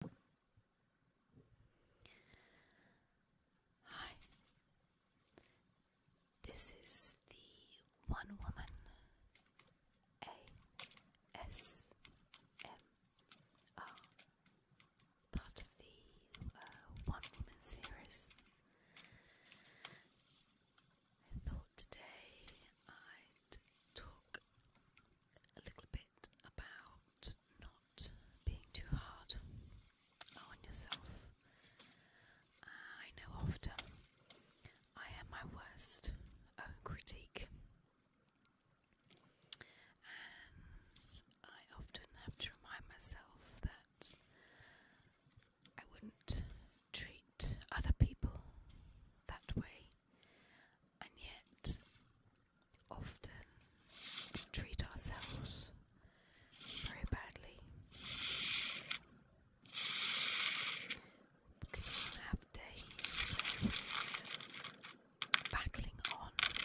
Hi, this is the One Woman ASMR part of the uh, One Woman series. I thought today I'd talk a little bit bit about not being too hard on yourself. I know often I am my worst own critique, and I often have to remind myself that I wouldn't treat other people that way, and yet often treat ourselves very badly. We can have days battling on, and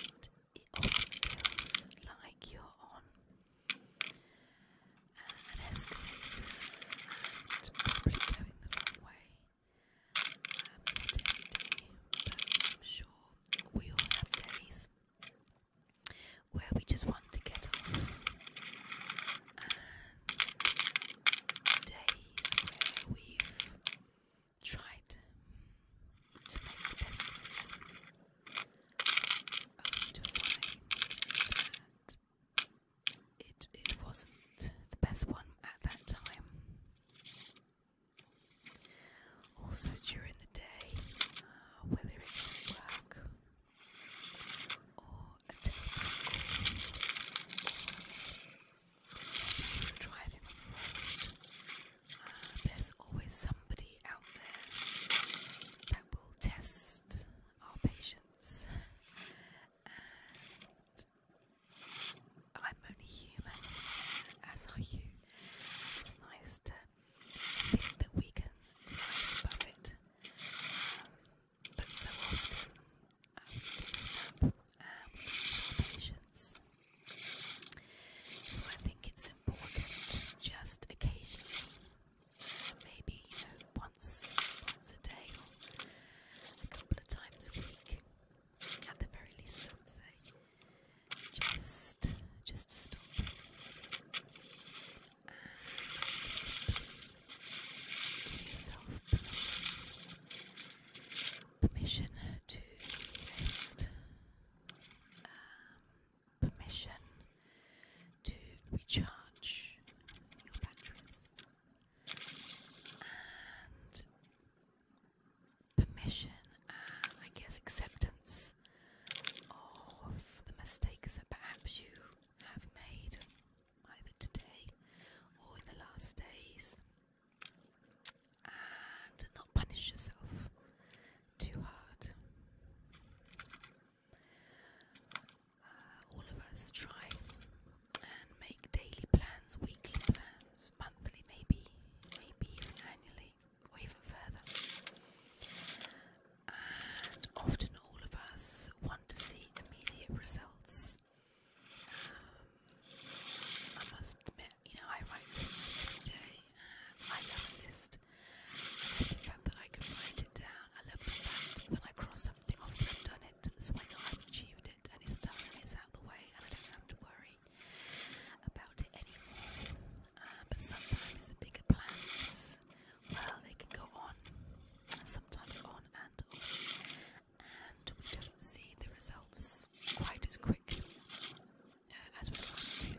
it often feels like you're on an escalator and going the wrong way. I'm sure we all have days where we just want to get off, and days where we've tried to make the best decisions. I want find that it it wasn't the best one at that time. Also during the day, uh, whether it's work or driving uh, there's always somebody out there that will test our patience and I'm only human, as are you. It's nice to think that we can rise above it, but so often um, we snap and um, we lose patience. So I think it's important just occasionally maybe you know once once a day or a couple of times a week at the very least just just to stop and give yourself permission to rest um, permission to recharge your batteries and permission and I guess acceptance of the mistakes that perhaps you have made either today or in the last days and not punish yourself too hard. Uh, all of us try and make daily plans, weekly plans, monthly, maybe, maybe even annually, or even further. And often all of us want to see immediate results. Um, I must admit, you know, I write lists every day. And I love a list. I love the fact that I can write it down. I love the fact when I cross something off that I've done it, so I know I've achieved it and it's done and it's out the way and I don't have to worry about it anymore. Uh, but sometimes the bigger plans, well, they can go on, and sometimes on and on, and we don't see the results quite as quick uh, as we want to.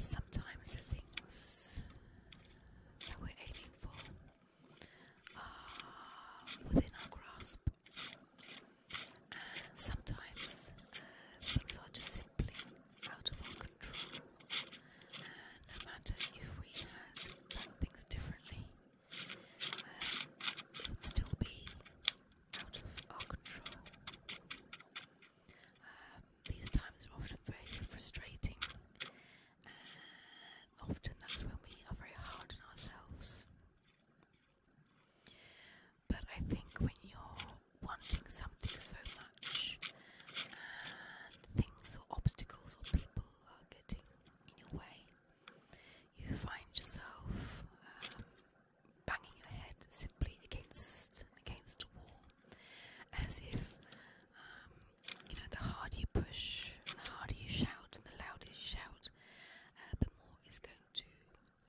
Sometimes the things that we're aiming for are within our grasp, sometimes things are just simply out of our control. no matter if we had done things differently, um, would still be out of our control. Um, these times are often very frustrating, and often that's when we are very hard on ourselves. But I think when you're wanting something so much, and things or obstacles or people are getting in your way, you find yourself um, banging your head simply against against a wall, as if um, you know the harder you push, and the harder you shout, and the louder you shout, uh, the more is going to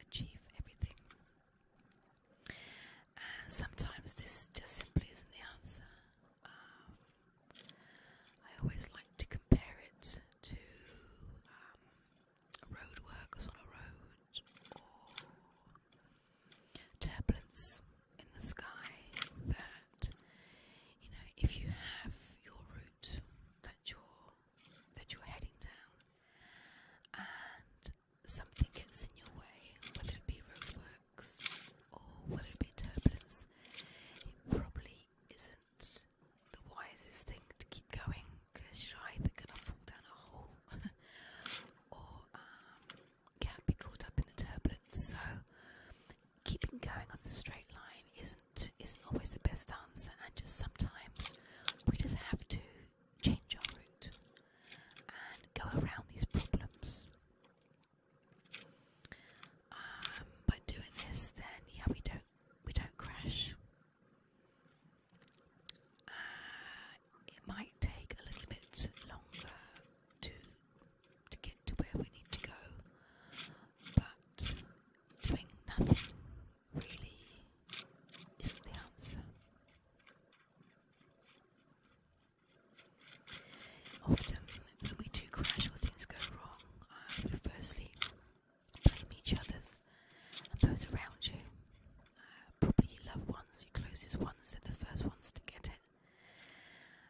achieve everything. And sometimes this just simply isn't the answer. Um, I always like to compare it to um, road workers on a road, or turbulence in the sky. That you know, if you have your route that you're that you're heading down, and something gets in your way, whether it be roadworks or whether it be turbulence, it probably isn't the wisest thing to keep going because you're either gonna fall down a hole or um, can not be caught up in the turbulence. So keeping going on the straight line isn't isn't always the best answer, and just sometimes we just have to change our route and go around these problems. Um, by doing this, then yeah, we don't we don't crash. Uh, it might take a little bit longer to to get to where we need to go, but doing nothing really isn't the answer. Often, when we do crash things go wrong, firstly blame each other's and those around you. Uh, probably your loved ones, your closest ones are the first ones to get it.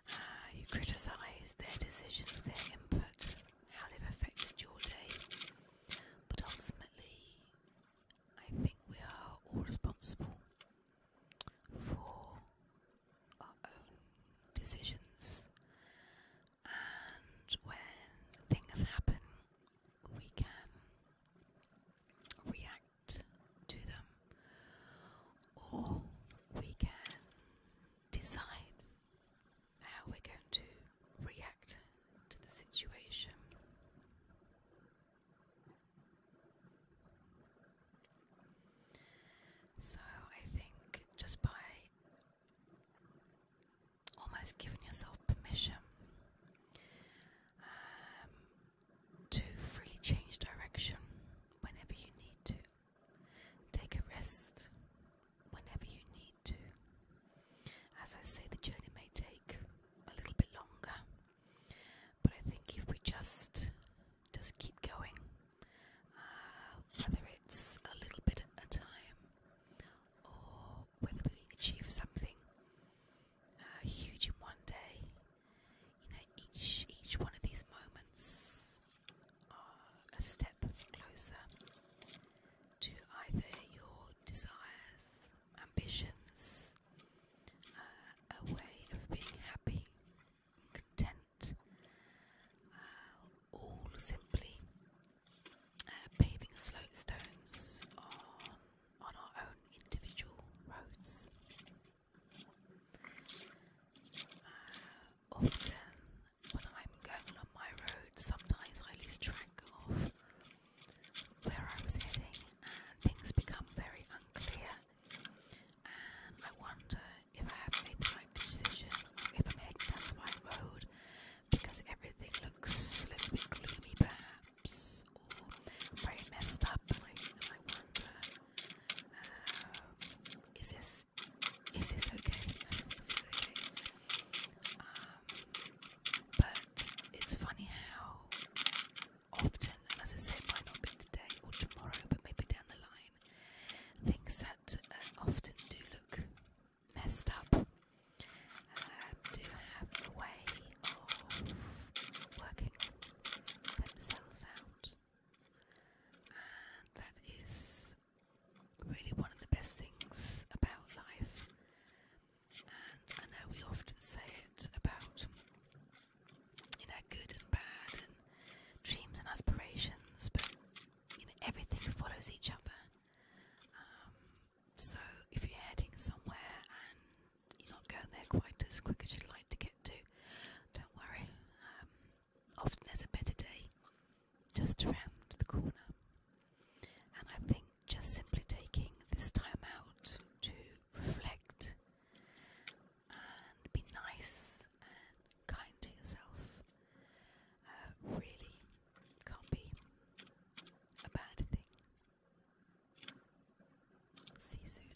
Uh, you criticise their decisions, their input, how they've affected your day. But ultimately, I think we are all responsible for our own decisions and when things happen, we can react to them or we can decide how we're going to react to the situation. So, I think just by almost giving yourself permission um, to freely change direction whenever you need to. Take a rest whenever you need to. As I say, the journey may take a little bit longer, but I think if we just just keep going, uh, whether it's a little bit at a time, or whether we achieve something uh, huge in one day. You know, each each one of these moments are a step closer to either your desires, ambitions, uh, a way of being happy, content, uh, all simply uh, paving slope stones on, our own individual roads. Uh, often, when I'm going along my road, sometimes I lose track of where I was heading, and things become very unclear, and I wonder if I have made the right decision, if I'm heading down the right road, because everything looks a little bit gloomy, perhaps, or very messed up, and I, I wonder, um, is this is this okay? is this okay? Um, but it's funny how often, as I say, might not be today or tomorrow, but maybe down the line online things that uh, often do look messed up um, do have a way of working themselves out. And that is really one of the best things about life. And I know we often say it about, you know, good and bad and dreams and aspirations, but you know, everything follows each other. Um, so if you're heading somewhere and you're not going there quite as quick as you'd like to get to, don't worry. Um, often there's a better day just around the corner. And I think just simply taking this time out to reflect and be nice and kind to yourself. Uh, really can't be a bad thing. See you soon.